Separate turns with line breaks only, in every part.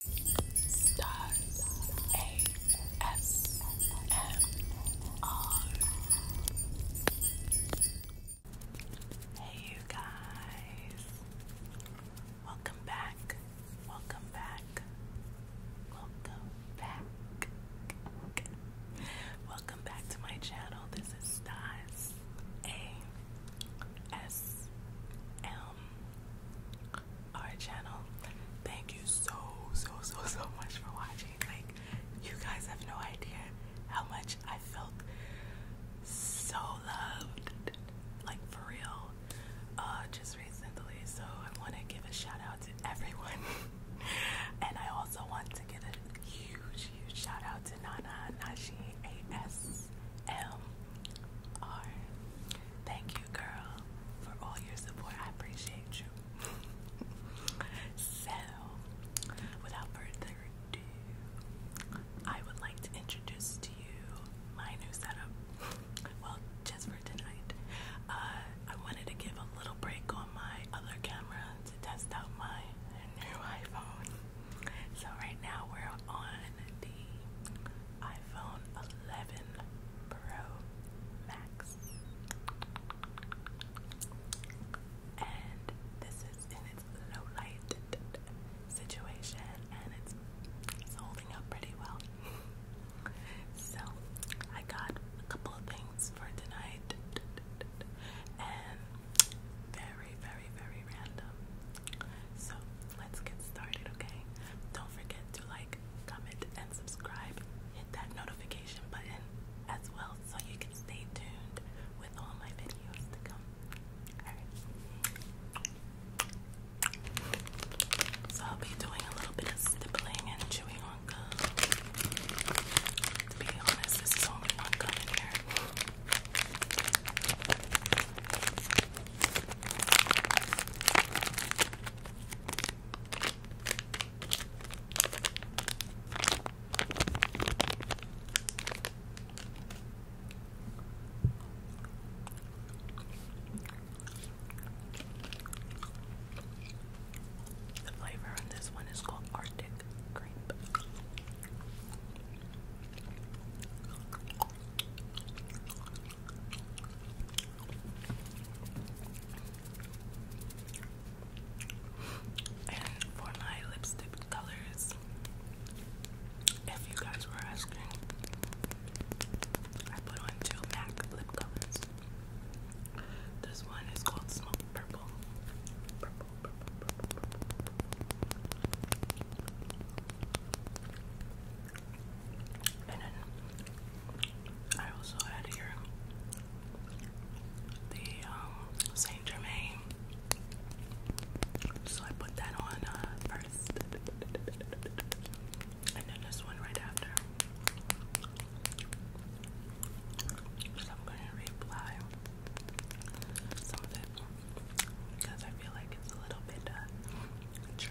Stars A S M R. Hey, you guys. Welcome back. Welcome back. Welcome back. Welcome back to my channel. This is Stars A S M our channel. Thank you so, so, so, so much for watching. Like, you guys have no idea how much I felt so loved, like for real, uh, just recently. So, I want to give a shout out to everyone. and I also want to give a huge, huge shout out to Nana Nashi ASMR. Thank you, girl, for all your support. I appreciate you. so, without further ado, I would like to introduce to you my new setup. Well, just for tonight. Uh, I wanted to give a little break on my other camera to test out my new iPhone. So, right now we're on the iPhone 11 Pro Max. And this is in its low light situation and it's, it's holding up pretty well. so, I got a couple things for tonight and very, very, very random. So, let's get started, okay? Don't forget to like, comment, and subscribe. Hit that notification button as well so you can stay tuned with all my videos to come. So I'll be doing a little bit of stippling and chewing on gum. To be honest, this is only gum in here. The flavor on this one is called Arctic Grape. And for my lipstick colors, if you guys were asking, I put on two MAC lip colors. This one is called Smoke Purple. And then I also had here the um, Saint Germain, so I put that on uh, first, and then this one right after. So I'm gonna reapply some because I feel like it's a little bit uh, Try.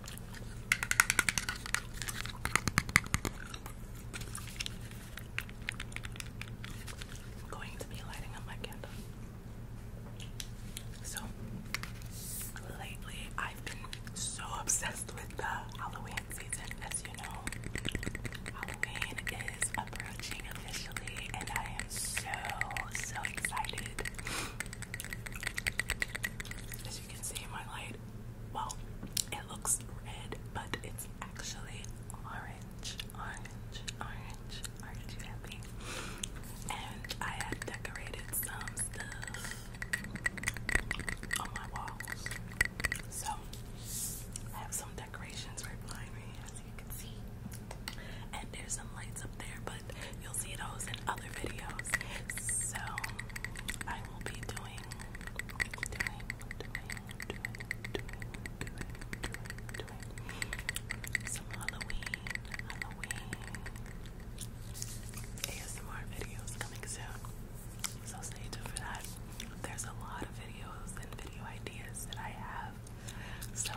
I'm going to be lighting up my candle. So lately I've been so obsessed with the Halloween season, as you know. Halloween is approaching officially and I am so so excited. As you can see my light well, it looks red, but it's actually orange, orange, orange. are you happy? And I have decorated some stuff on my walls. So I have some decorations right behind me, as you can see. And there's some lights up there, but you'll see those in other videos. So I will be doing doing, some Halloween, Halloween ASMR videos coming soon. So stay tuned for that. There's a lot of videos and video ideas that I have. So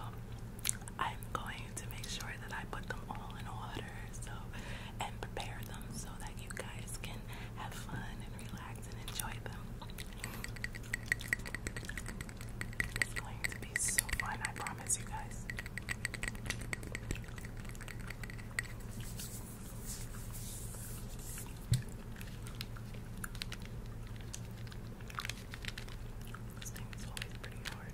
I'm going to make sure that I put them all in order. So and prepare them so that you guys can have fun and relax and enjoy them. It's going to be so fun, I promise you guys. This thing is always pretty hard.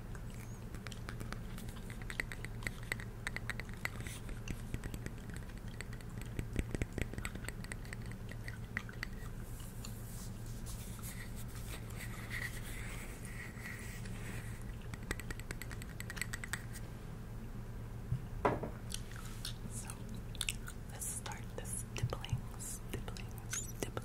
So let's start the stippling, stippling, stippling, stippling.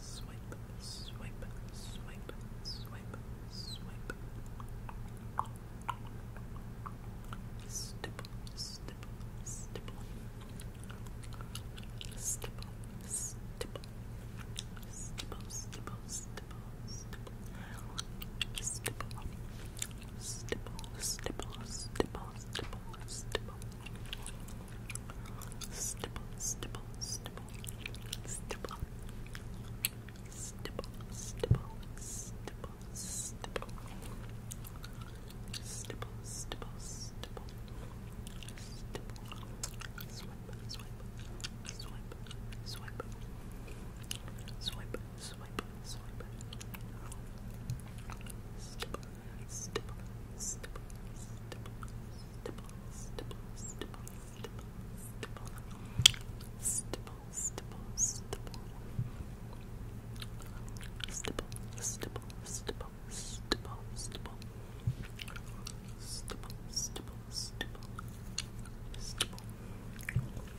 Swipe, swipe, swipe, swipe, swipe. Stipple, stipple, stipple. Stipple, stipple. Stipple, stipple, stipple, stipple stipple, stipple, stipple, stipple, stipple, stipple, stipple, stipple, stipple, stipple, stipple, stipple, stipple, stipple, stipple, stipple, stipple, swipe, swipe, swipe, swipe, swipe, swipe, swipe, swipe, stipple, stipple, stipple, stipple, stipple, stipple, stipple, stipple, stipple, stipple, Stipple, stipple, stipple, stipple, stipple, stipple, stipple, stipple, stipple, I'm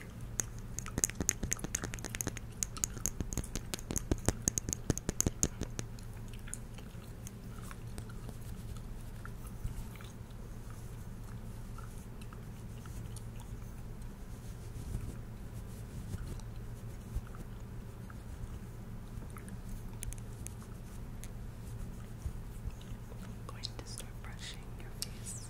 going to start brushing your face.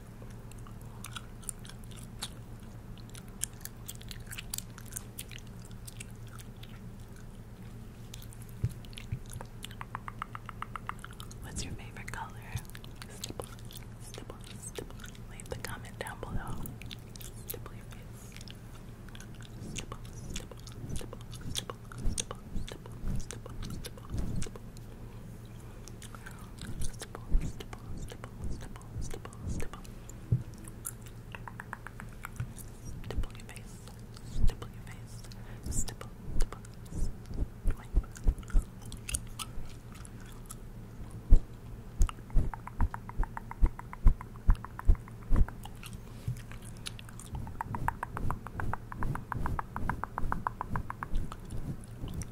What's your favorite color? Leave the comment down below stipple, stipple, stipple. Stipple your face, stipple your face, stipple, stipple, wipe. Stipple,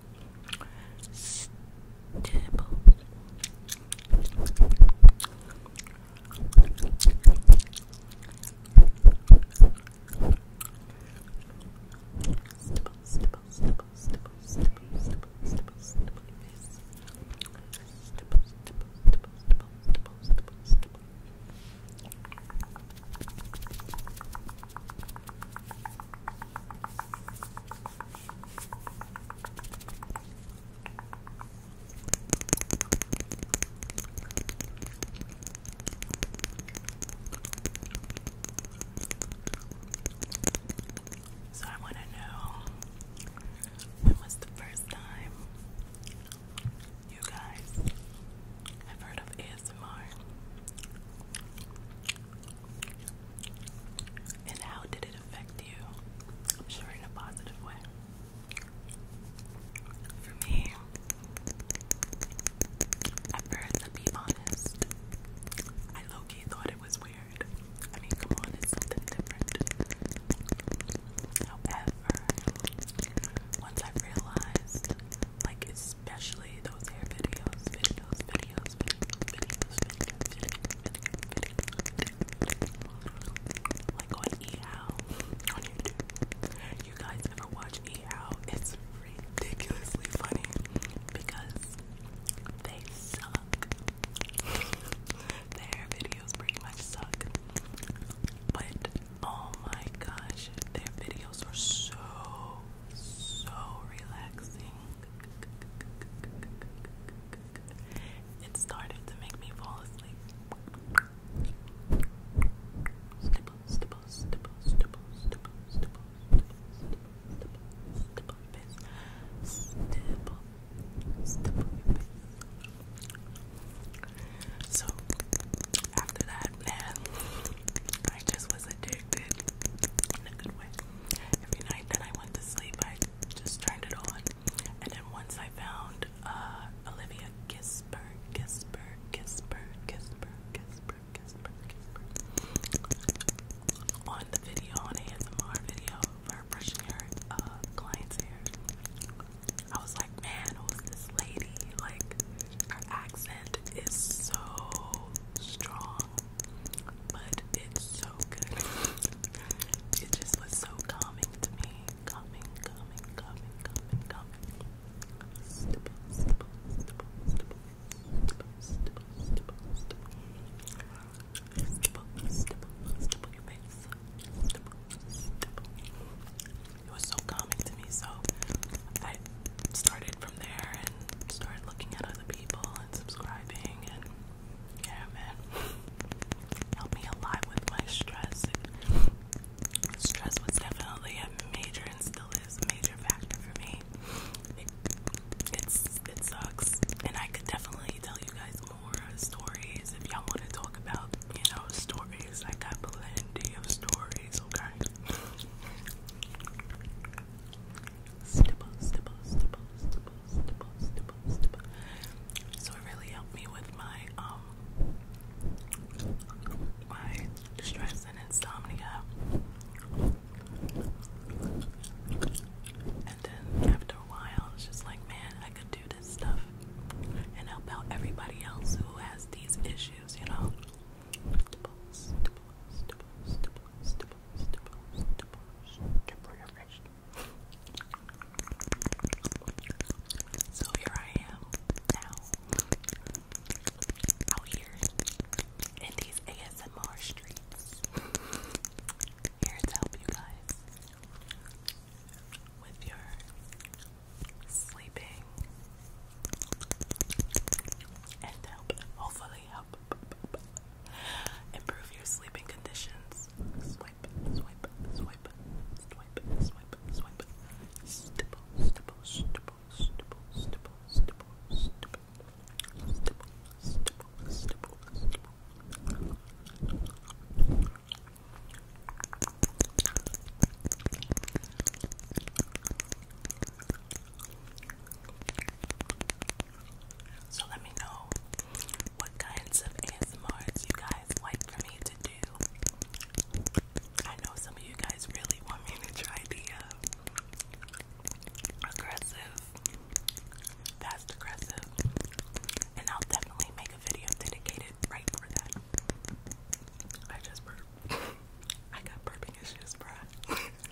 stable. Stipple, stipple, stipple, stipple, stipple, stipple, stipple, stipple, yes. Stipple, stipple, stipple, stipple, stipple, stipple, stipple. So I want to know when was the first time you guys have heard of and how did it affect you? I'm sure in a positive way. For me, at first, to be honest, I low thought it was weird. I mean, come on, it's something different. However, once I realized, like, especially those hair videos, videos, videos, like on EL on YouTube. You guys ever watch EL? It's ridiculously funny because they suck. Their videos pretty much suck. But oh my gosh, their videos are so so relaxing. It started to make me fall asleep. Stipple, stipple, stipple, stipple, stipple, stipple, stipple, stipple, stipple, So after that, man, I just was addicted in a good way every night that I went to sleep, I just turned it on. And then once I found uh, Olivia Gisper, Gisper, Gisper, Gisper, Gisper, Gisper, Gisper, on the video, on ASMR video for brushing her uh, client's hair. I was like, man, who's this lady? Like, her accent is so strong but it's so good. It just was so calming to me. Calming, calming, calming, calming, calming. It was so calming to me, so I started there and started looking at other people and subscribing and yeah man helped me a with my stress stress was definitely a major and still is a major factor for me it's it sucks and I could definitely tell you guys more stories if y'all want to talk about you know stories I got plenty of stories okay stipple, stipple, stipple, stipple, stipple, stipple, stipple. So it really helped me with my um my stress and insomnia. And then after a while, it's just like, man, I could do this stuff and help out everybody else who has these issues, you know. Dimples, So here I am now, out here in these ASMR streets, here to help you guys with your sleeping and help, hopefully help Improve your sleeping conditions. Swipe, swipe, swipe, swipe, swipe, swipe. Stipple, stipple, stipple, stipple, stipple, stipple, stipple, stipple, stipple, stipple, stipple. So let me know what kinds of ASMRs you guys like for me to do. I know some of you guys really want me to try the uh, aggressive, fast aggressive, and I'll definitely make a video dedicated right for that. I just burped. I got burping issues, bruh.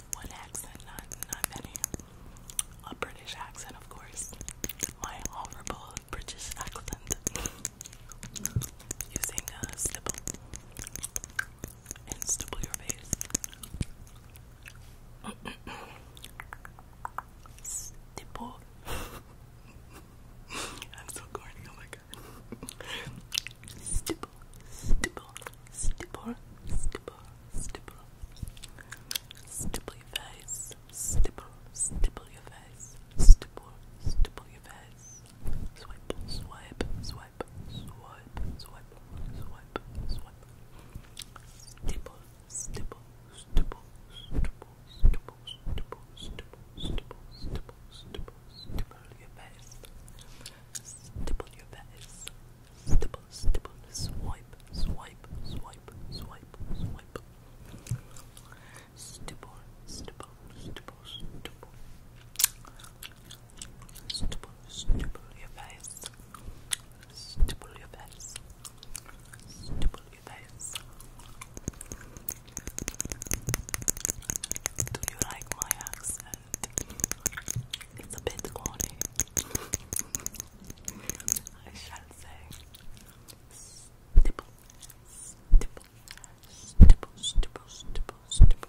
one accent, not not many. A British accent, of course. My horrible British accent. Using a stipple and stipple your face. stipple. I'm so corny. Oh my god. Stipple stipple, stipple, stipple, stipple, stipple, stipple your face, stipple, stipple your face, stipple, stipple your face, swipe, swipe, swipe, swipe, swipe, swipe, swipe, stipple, stipple, stipple, stipple, stipple, stipple, stipple, stipple, stipple, stipple, stipple your face, stipple your face. Stipple your face, stipple, stipple, swipe, swipe, swipe, swipe, swipe. Stipple, stipple, stipple, stipple. Stipple, stipple your face. Stipple your face. Stipple your face. Do you like my accent? It's a bit corny. I shall say. Stipple, stipple, stipple, stipple, stipple, stipple.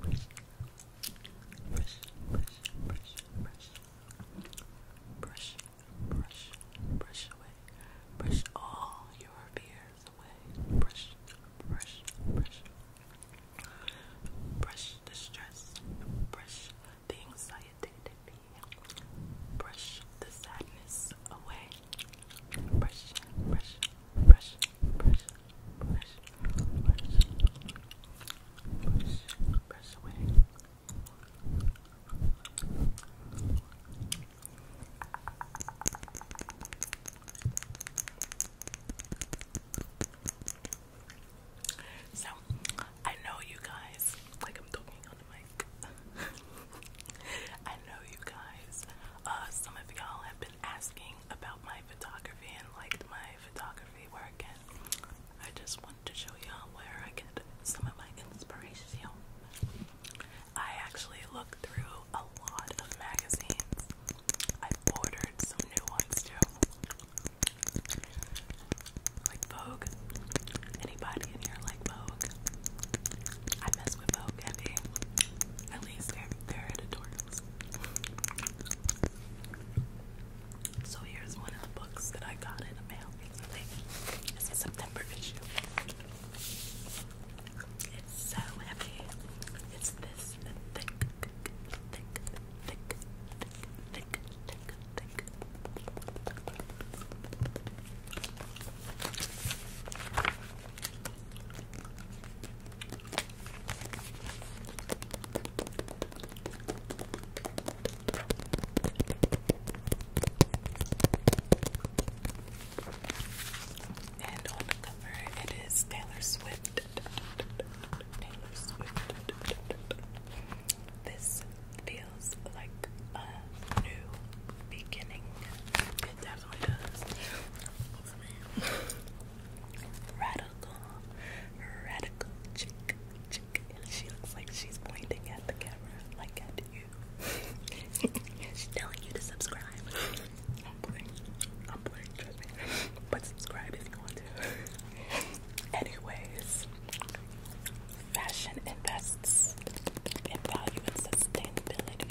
brush, brush, brush, brush, brush, brush, brush away, brush all your fears away, brush, brush, brush, brush the stress, brush the anxiety, brush the sadness away, brush, brush, brush, brush, brush, So, I know you guys, like I'm talking on the mic. I know you guys, uh, some of y'all have been asking about my photography and liked my photography work, I just want to show y'all where I get some of my inspiration. I actually look through a lot of magazines. I have ordered some new ones too, like Vogue. Anybody in here like Vogue? I mess with Vogue heavy. At least they're, editorials. So here's one of the books that I got in the mail recently. It's a September issue. It's so heavy. It's this thick, thick, thick, thick, thick, thick, thick. And on the cover, it is Taylor Swift. Taylor Swift. This feels like a new beginning. It definitely does. Radical, radical chick, chick. she looks like she's pointing at the camera, like at you. she's telling you to subscribe. I'm playing, I'm playing, trust But subscribe if you want to. Anyways, fashion invests in value and sustainability.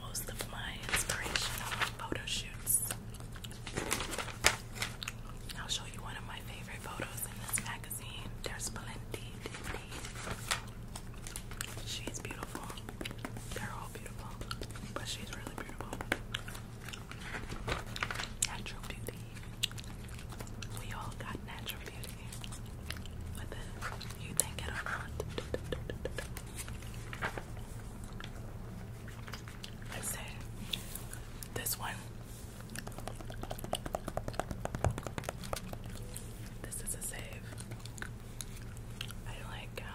most of my inspiration are photo shoots. I'll show you one of my favorite photos in this magazine. There's plenty, She's beautiful. They're all beautiful, but she's really beautiful. Natural beauty. We all got natural beauty. Whether you think it or not. I said this one. This is a save. I like how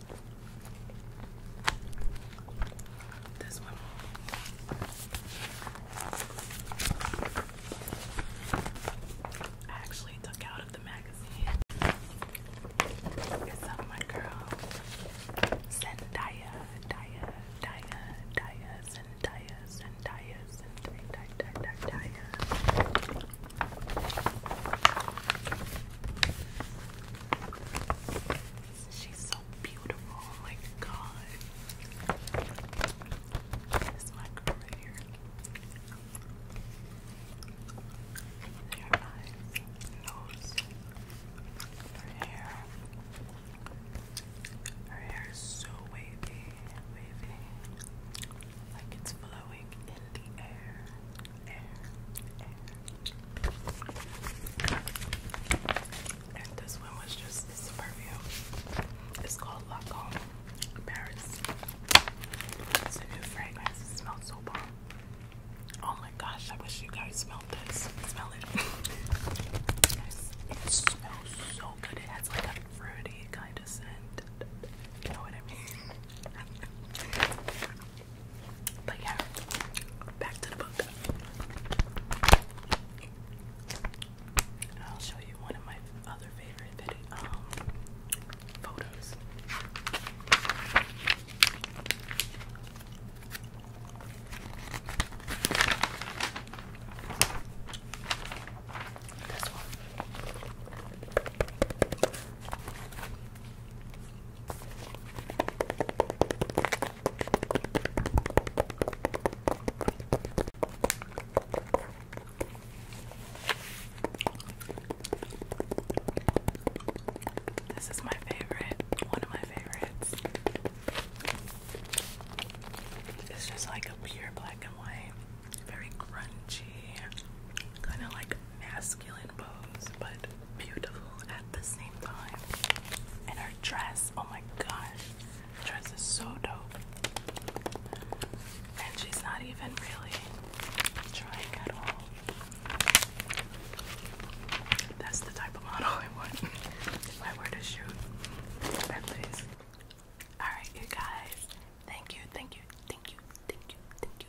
This one. I actually took out of the magazine. It's of my girl Zendaya, Daya, Daya, Daya, Zendaya, Zendaya, Zendaya, Zendaya, Zendaya, She's so beautiful. Oh my god. This is girl right here. Their eyes, nose, her hair. Her hair is so wavy, wavy. Like it's flowing in the air. Air, air, this one was just a perfume. It's called Lacombe Paris. It's a new fragrance. It smells so bomb. Oh my gosh, I wish you guys smelled this. Smell it. It smells so good. It has like a fruity kind of scent. You know what I mean? But yeah, back to the book. I'll show you one of my other favorite videos, um, photos. This is my favorite, one of my favorites. It's just like a pure black and white, very crunchy, kind of like mass masculine pose, but beautiful at the same time. And her dress, oh my gosh, dress is so dope. And she's not even really trying at all. That's the type of model I want. if I were to shoot at Alright you guys. Thank you, thank you, thank you, thank you, thank you,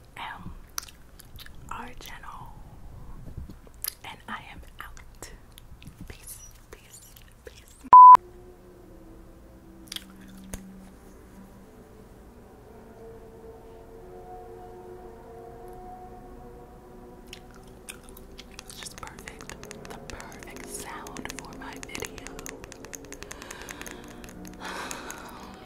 am our channel, and I am out. Peace, peace, peace. It's just perfect, the perfect sound for my video.